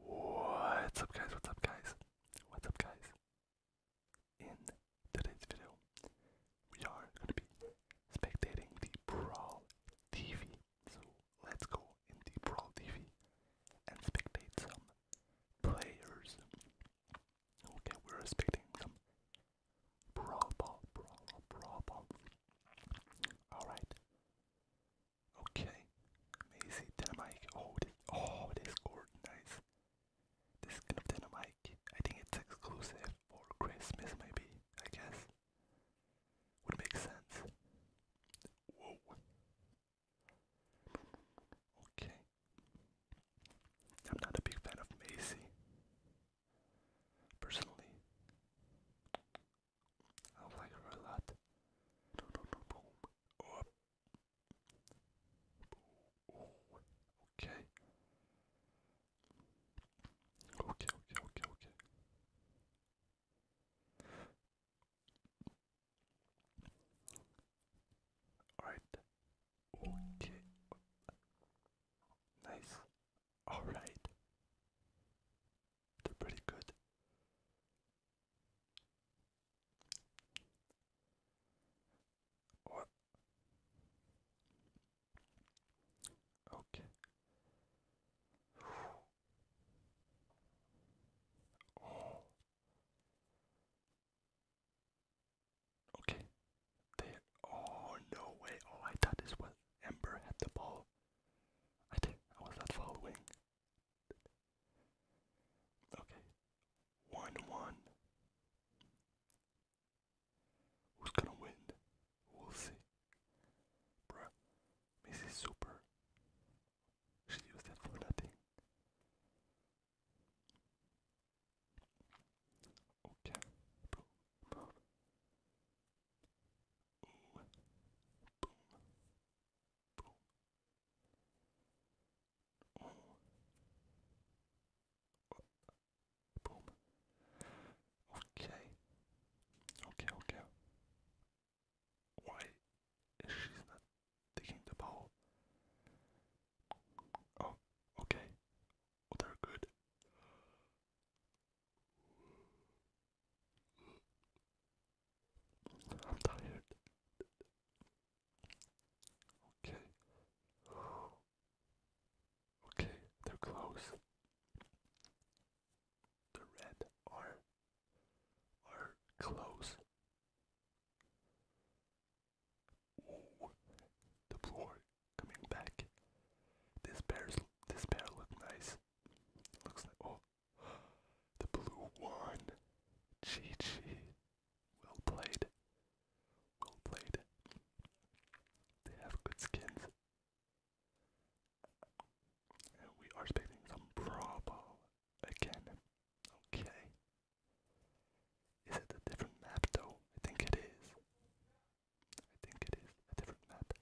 What's up guys, what's up guys, what's up guys? In today's video, we are going to be spectating the Brawl TV. So let's go in Brawl TV and spectate some players. Okay, we're spectating some Brawl Ball, Brawl Brawl Alright, Okay, amazing Dynamite. Oh, this, oh, this gourd, nice. This skin of Dynamite, I think it's exclusive for Christmas, maybe, I guess. Would make sense. Whoa. Okay. I'm not a big fan of Macy. Personally. I like her a lot. Okay. Okay, okay, okay, okay. Alright. Okay. Nice. Alright. They're pretty good. Okay. Oh. Okay. Oh no way! Oh, I thought this was Ember had the ball. I do. I was not following. Okay. One one. Who's gonna win? We'll see. Bruh. Mrs. Super. She used it for nothing. Okay. Boom. Ooh. Boom. Boom. Boom. Okay. Okay, okay. Why is she not taking the ball? Oh, okay. they're good. I'm tired. Okay. Okay, they're close. The red are are close. Ooh, the blue coming back. This bear's this bear look nice. Looks like oh the blue one. Chi Chi. Well played. Well played. They have good skins. And we are expecting some Bravo again. Okay. Is it a different map though? I think it is. I think it is a different map.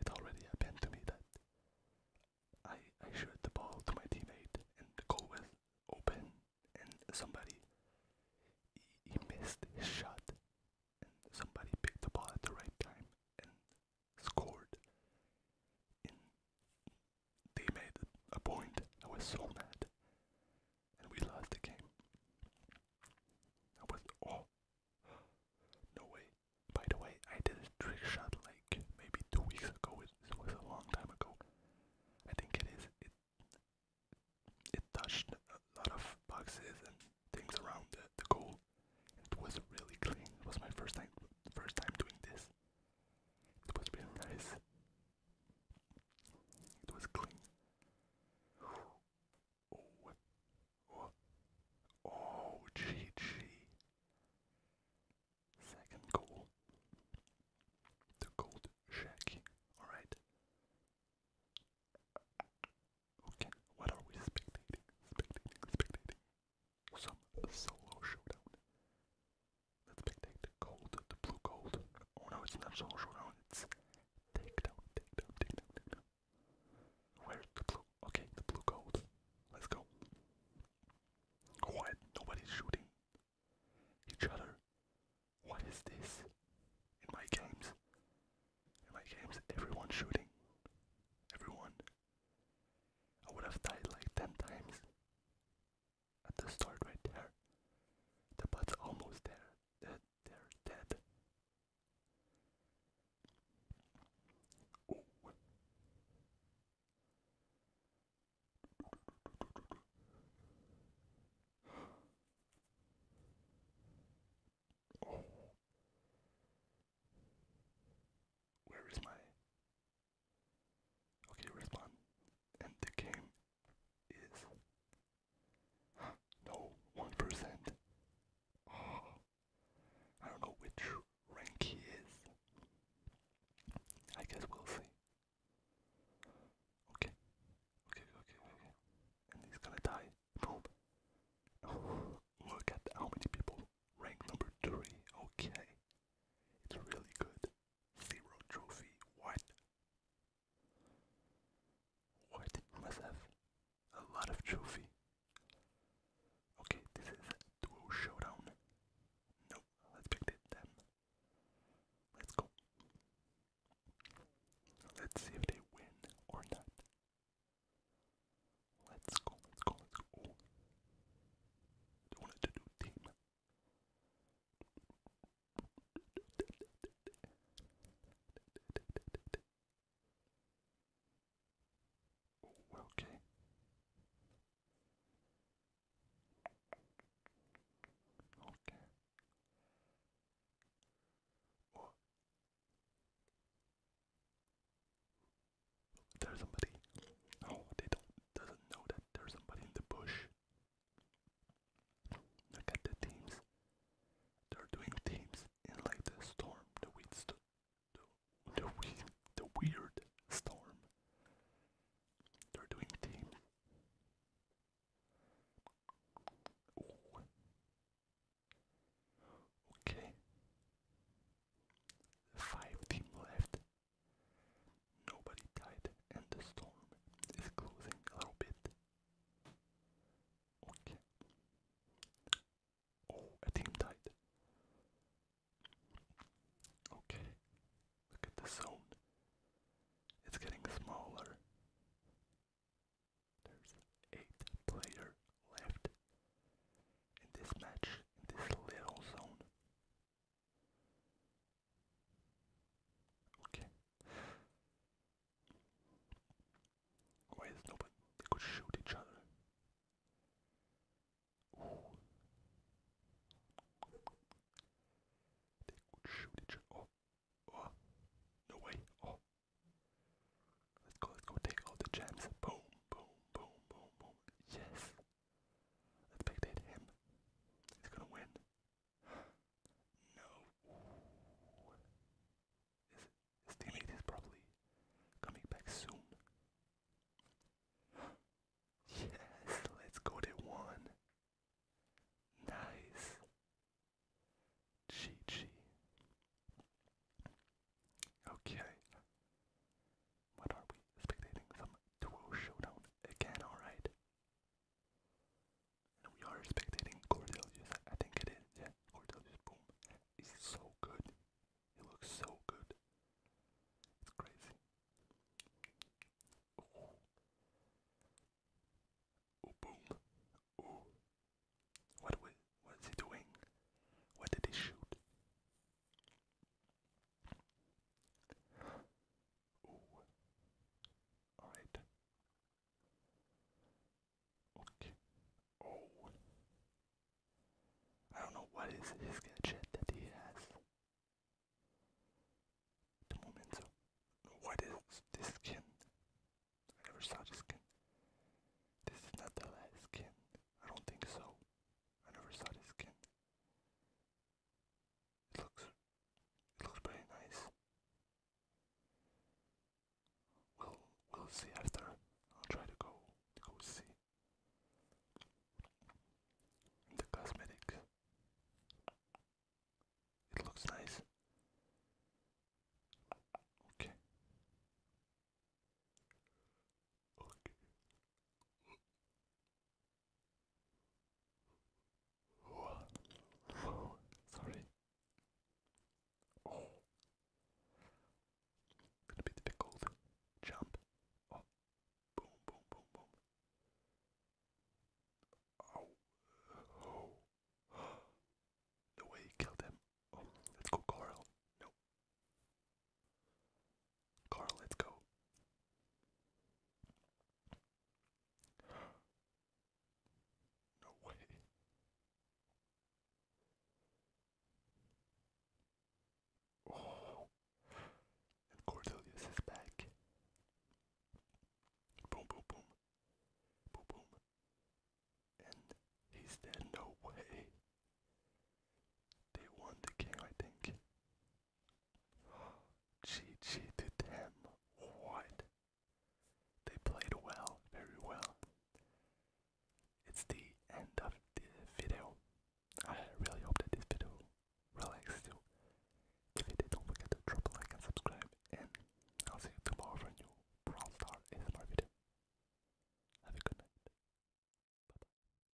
it already happened to me that I I shoot the ball to my teammate and the goal was open and somebody he missed his shot and somebody picked the ball at the right time and scored. And they made a point. I was so mad and we lost the game. I was oh no way. By the way, I did a trick shot like maybe two weeks ago. It, was a long time ago. I think it is. It it touched a lot of boxes and things around the, the goal. It was really clean. It was my first time first time doing this. It was really nice. It was clean. Oh, oh, oh, GG. Second goal. The gold shack. Alright. Okay, what are we spectating? Spectating, spectating. Some solo showdown. Let's spectate the gold, the blue gold. Oh no, it's not solo showdown, it's takedown, takedown, takedown, takedown. Where's the blue? Okay, the blue gold. Let's go. Quiet, nobody's shooting each other. What is this? In my games, in my games, everyone's shooting. Everyone. I would have died like 10 times at the start right there. The bot's almost there. they're dead. Oh. Oh. Where is my okay respawn? And the game is no, 1%. I don't know which rank he is. I guess we'll see. Okay. Okay, okay, okay. And he's gonna die. look at how many people. Rank number 3. Okay. It's really good. Zero trophy. What? Or must have a lot of trophy. Okay, this is duo showdown. No, let's pick them. Let's go. Let's see if they win or not. Let's go, let's go, let's go. Oh. They wanted to do team. Okay. Okay. Oh. There's somebody. Oh, they don't doesn't know that there's somebody in the bush. Look at the teams. They're doing teams in like the storm, the weird, the, weird storm. They're doing teams. Okay. Five team left. Nobody died, and the storm is closing a little bit. Okay. Oh, a team died. Okay. Look at the zone. It's getting smaller. There's eight player left in this match, in this little zone. Okay. Why is nobody? They could shoot each other. Ooh. They could shoot each other. Oh. Oh. No way. Oh. Let's go, let's go take all the gems. Boom, boom, boom, boom, boom. Yes. Let's spectate him. He's gonna win. No. His, teammate is probably coming back soon. Yes, let's go to one. Nice. GG. Okay. What are we? Spectating some duo showdown again, alright we are spectating Cordelius. I think it is, yeah. boom. He's so good. He looks so good. It's crazy. Oh, boom. Oh. What what is he doing? What did he shoot? Alright. Okay. Oh. I don't know what is his gadget that he has. the moment, what is this skin? I never saw this skin. This is not the last skin. I don't think so. I never saw this skin. It looks it looks pretty nice. We'll we'll see after. I'll try to go go see the cosmetics. It looks nice. Okay. Okay. Oh, sorry. Oh. Gonna difficult. Jump. Oh. Boom, boom, boom, boom. Oh. Oh. No way, he killed him. Oh, let's go, Coral. No. Carl, let's go. No way. Oh, and Cordelius is back. Boom, boom, boom. Boom, boom. And he's dead. No way. They won the game, I think. She cheated him. What? They played well, very well. It's the end of the video. I really hope that this video relaxed you. If it did, don't forget to drop a like and subscribe. And I'll see you tomorrow for a new Brawl Star ASMR video. Have a good night. Bye bye.